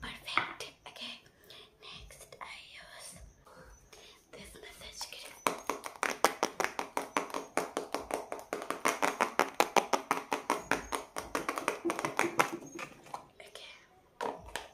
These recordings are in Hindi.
Perfect. Okay. Next, I use this massage cream. Okay.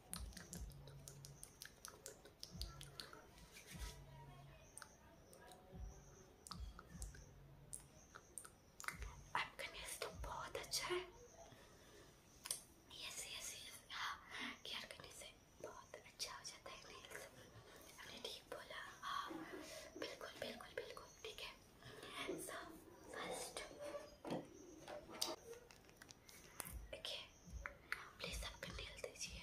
आपका नेल्स तो बहुत अच्छा है यस यस यस हाँ केयर करने से बहुत अच्छा हो जाता है नेल्स आपने ठीक बोला हाँ बिल्कुल बिल्कुल बिल्कुल ठीक है सो फर्स्ट देखिए प्लीज सबके नील दीजिए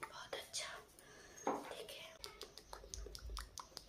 बहुत अच्छा ठीक है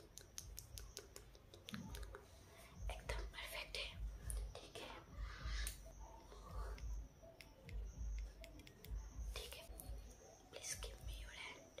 एकदम परफेक्ट है ठीक है ठीक है please give me your hand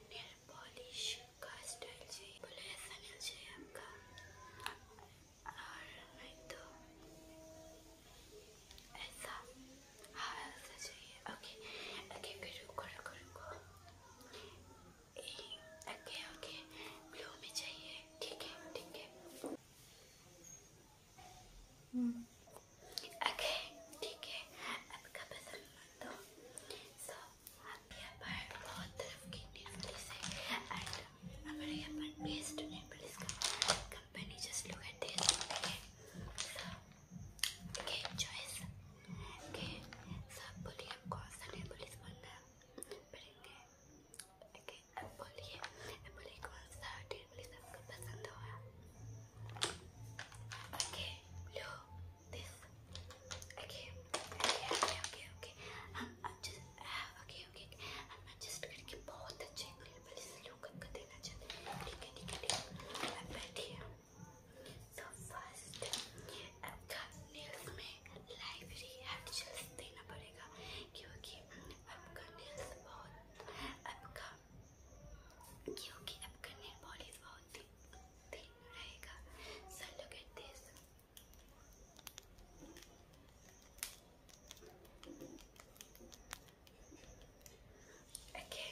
and nail polish का स्टाइल चाहिए बोले ऐसा नेल चाहिए आपका और नहीं तो ऐसा हाँ ऐसा चाहिए ओके ओके फिर रुको रुको रुको ओके ओके ब्लू में चाहिए ठीक है ठीक है hmm. Okay, ठीक है अब कब्ज़ मत दो सो आप यहाँ पर बहुत तरफ की नीवली से एंड हमारे यहाँ पर बेस्ट नेबल इसका company just look at this okay so okay choice okay so बोलिए आप कौन सा नेबल इस बनना करेंगे ओके अब बोलिए अब बोलिए कौन सा डेफिनेटली सबको पसंद होगा ओके लो this okay okay okay okay हम एडजस्ट ओके ओके हम एडजस्ट करके बहुत अच्छे एंगल से लोग को देना चाहते हैं ठीक है ठीक है ठीक है आप बैठिए सो फर्स्ट आपका नेल्स में लाइब्रेरी एडजस्ट देना पड़ेगा क्योंकि आपका नेल्स बहुत आपका क्योंकि आपका नेल पॉलिश बहुत ही थिन रहेगा so look at this Okay.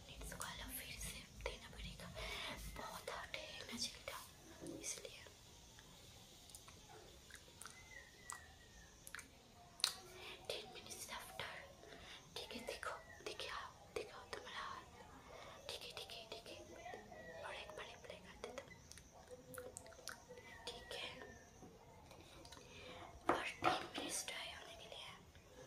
Minutes को अलग फिर से देना पड़ेगा बहुत हार्ड है एनर्जी डाउन इसलिए टेन मिनट्स आफ्टर ठीक है देखो देखिए आप हाँ, देखो तुम्हारा हाथ ठीक है ठीक है ठीक है और एक बार अप्लाई कर देता ठीक है और टेन मिनट्स ड्राई होने के लिए